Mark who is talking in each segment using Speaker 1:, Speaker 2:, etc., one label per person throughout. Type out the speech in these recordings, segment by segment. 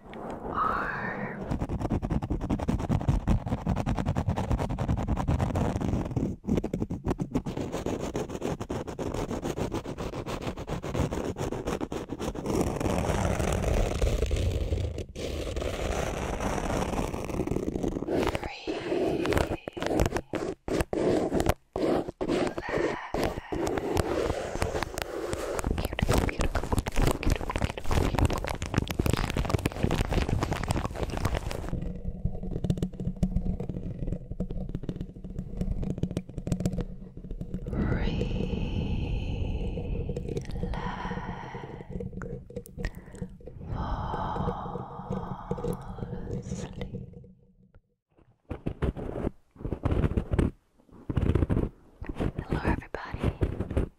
Speaker 1: are free. Let's Beautiful, beautiful, Relax. Fall asleep. Hello, everybody.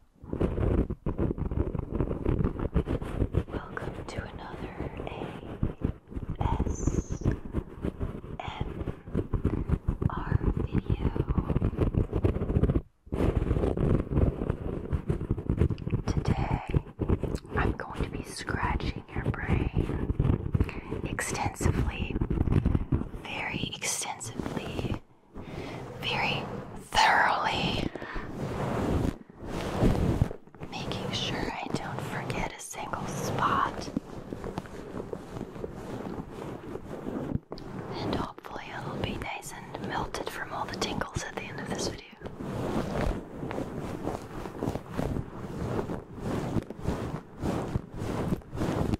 Speaker 1: Welcome to another ASMR video. Today, I'm going to be scratching your brain extensively, very extensively very thoroughly, making sure I don't forget a single spot. And hopefully, it'll be nice and melted from all the tingles at the end of this video.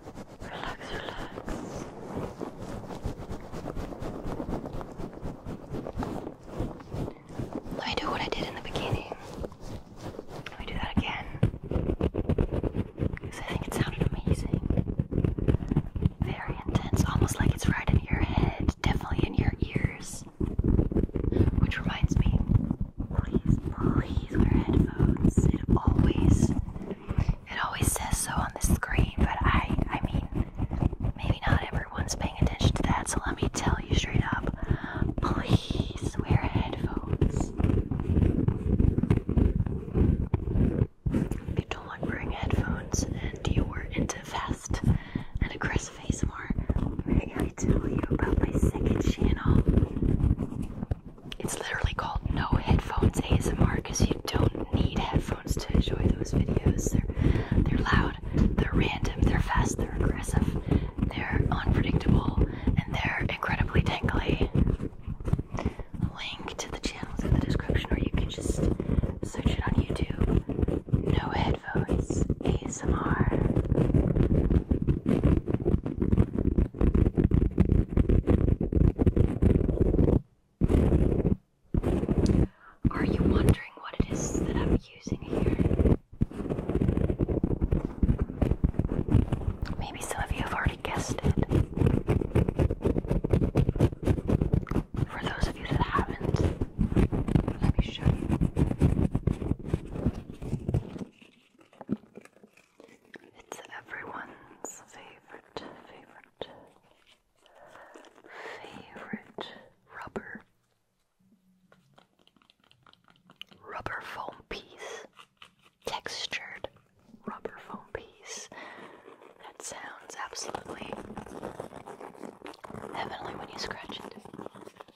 Speaker 1: relax, relax. Let me do what I did in the beginning. Let me do that again. Because I think it sounded amazing. Very intense, almost like it's right in your head, definitely in your ears. Which reminds me, please, please wear headphones. It always, it always says so on the screen, but I, I mean, maybe not everyone's paying attention to that. So let me tell you straight up, please wear headphones. If you don't like wearing headphones and you were into fast and aggressive ASMR, I gotta tell you about my second channel. It's literally called No Headphones ASMR because you don't need headphones to enjoy those videos. They're loud, they're random, they're fast, they're aggressive, they're unpredictable, and they're incredibly tingly. link to the channel in the description, or you can just search it on YouTube. No headphones ASMR. Are you wondering what it is that I'm using here? Maybe some of you have already guessed it. For those of you that haven't, let me show you. It's everyone's favorite, favorite, favorite rubber, rubber foam piece, textured rubber foam piece. That sounds absolutely heavenly when you scratch it. And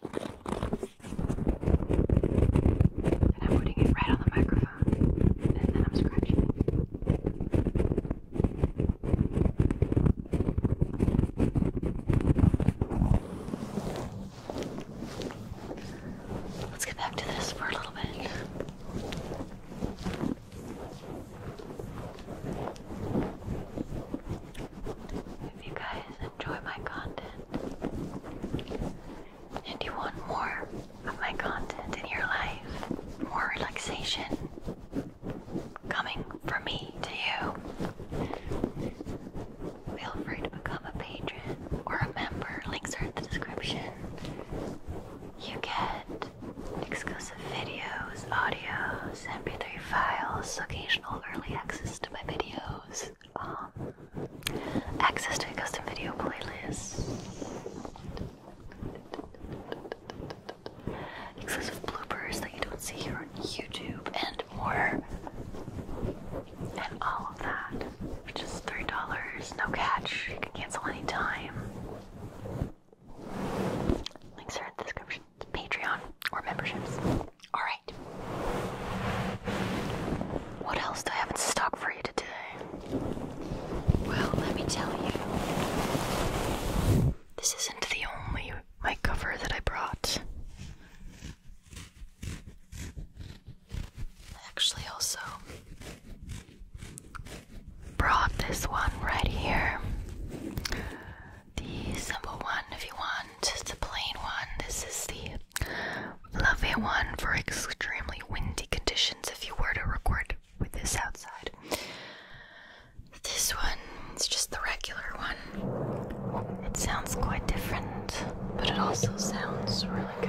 Speaker 1: I'm putting it right on the microphone. And then I'm scratching it. Let's get back to this for a little bit. If you guys enjoy my content, and you want more of my content in your life, more relaxation coming from me to you, feel free to become a patron or a member. Links are in the description. You get exclusive videos, audios, mp3 files, occasional early access to my videos. Um, access to a custom video playlist, exclusive bloopers that you don't see here on YouTube, and more, and all of that, which is three dollars, no catch. You can cancel anytime. Links are in the description. Patreon or memberships. Alright. What else do I have in stock for you today? Well, let me tell you. This isn't the only mic cover that I brought. I actually also brought this one right here. The simple one if you want, just the plain one. This is the Fluffy one for extremely windy conditions if you were to record with this outside. This one is just the regular one. It sounds quite different, but it also sounds really good.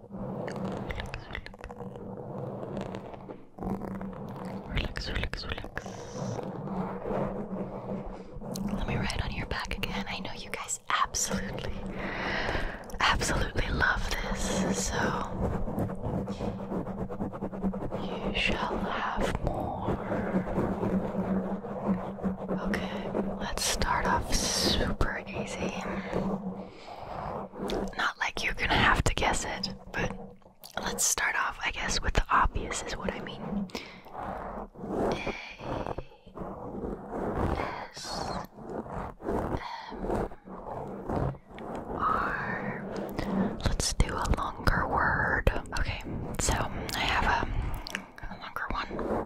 Speaker 1: Relax, relax, relax. Let me ride on your back again. I know you guys absolutely, absolutely love this, so you shall have more. Okay, let's start off super easy. Not like you're gonna have to guess it, but let's start off, I guess, with the obvious, is what I mean. A S M R. Let's do a longer word. Okay, so I have a, longer one.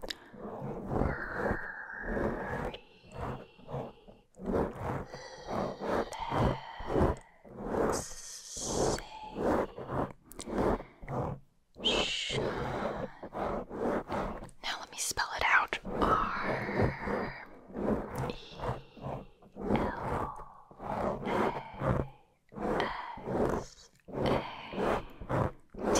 Speaker 1: Relaxation. Now let me spell it out. R E L A X A T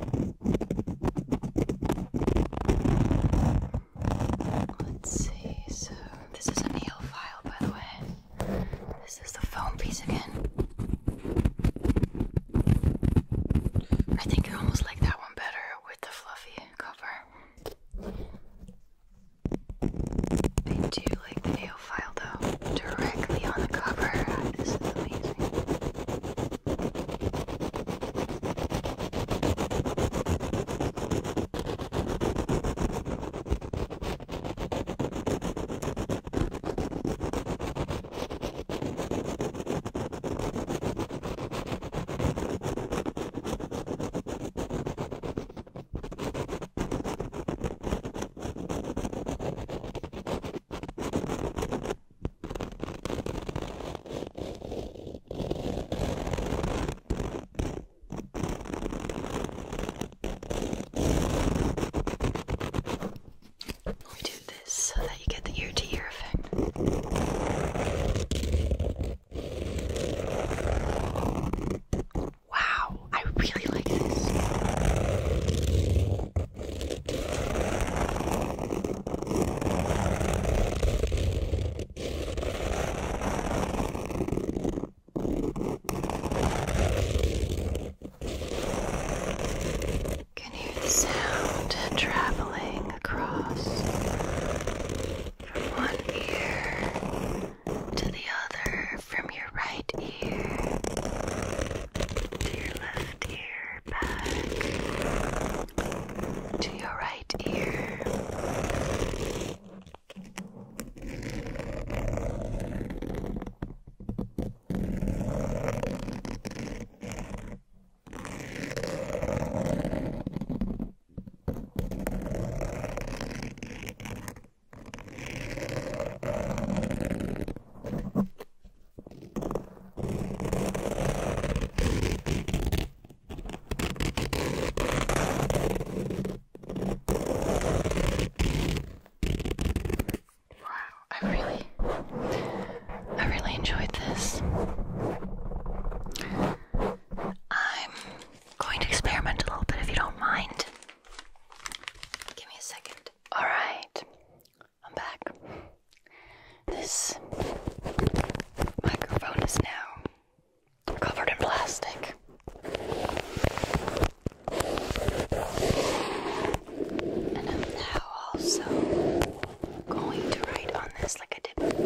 Speaker 1: Let's see, so this is an EO file, by the way. This is the foam piece again. I think you almost like that one better with the fluffy cover. I do like the AO5 style directly on the cover. This is amazing. We do this so that you get the ear to ear effect. Wow, I really like this. Can hear the sound traveling across from one ear to the other, from your right ear to your left ear back to your right ear. I really, I really enjoyed this. I'm going to experiment a little bit if you don't mind. Give me a second. Alright, I'm back. This microphone is now covered in plastic. And I'm now also going to write on this like I did before.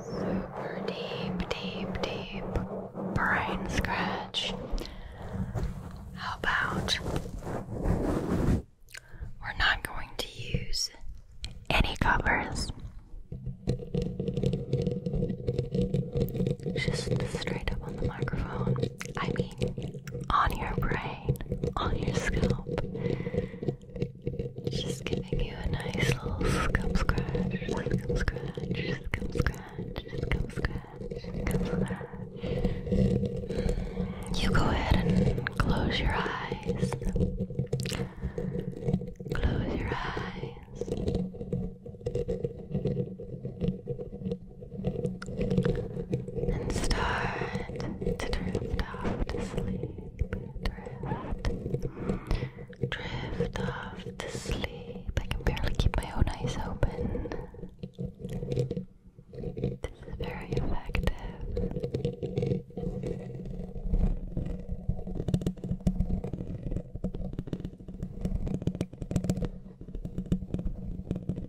Speaker 1: Super deep, deep, deep brain scratch. How about we're not going to use any covers? Just straight up on the microphone. I mean, on your brain, on your scalp. Just giving you a nice little scum scratch, scum scratch, scum scratch, scum scratch, scum scratch. You go ahead and close your eyes. Close your eyes. And start to drift off to sleep, drift, drift off to sleep. I can barely keep my own eyes open. This is very effective.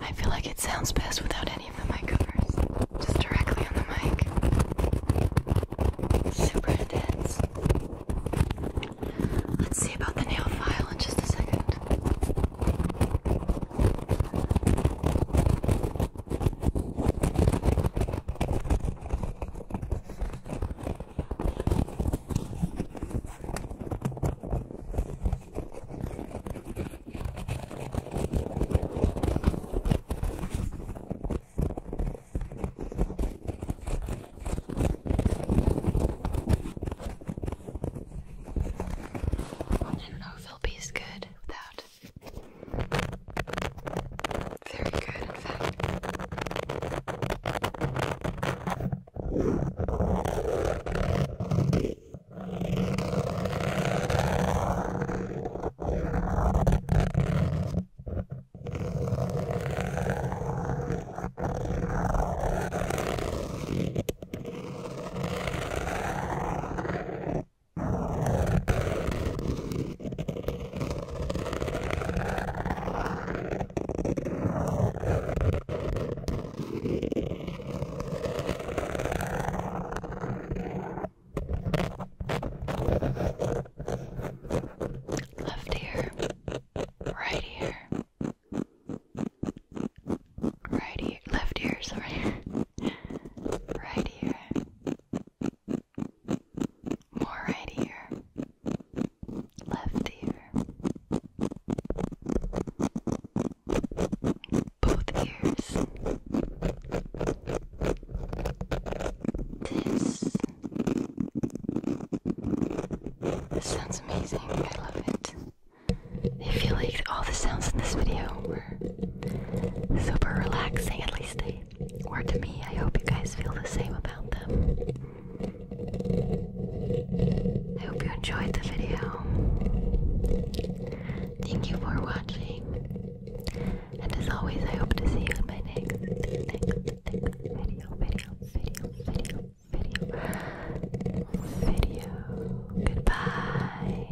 Speaker 1: I feel like it sounds best without any of the mic covers, just directly on the mic. Super intense. Let's see about the nail file in just a second. I don't know if it'll be as good without very good, in fact. Left ear, right ear, right ear, left ear, sorry, right ear, more right ear, left ear, both ears. This. sounds amazing. I love it. If you liked all the sounds in this video were super relaxing, at least I me, or to me. I hope you guys feel the same about them. I hope you enjoyed the video. Thank you for watching. And as always, I hope to see you in my next video, video, video, video, video, video. Goodbye.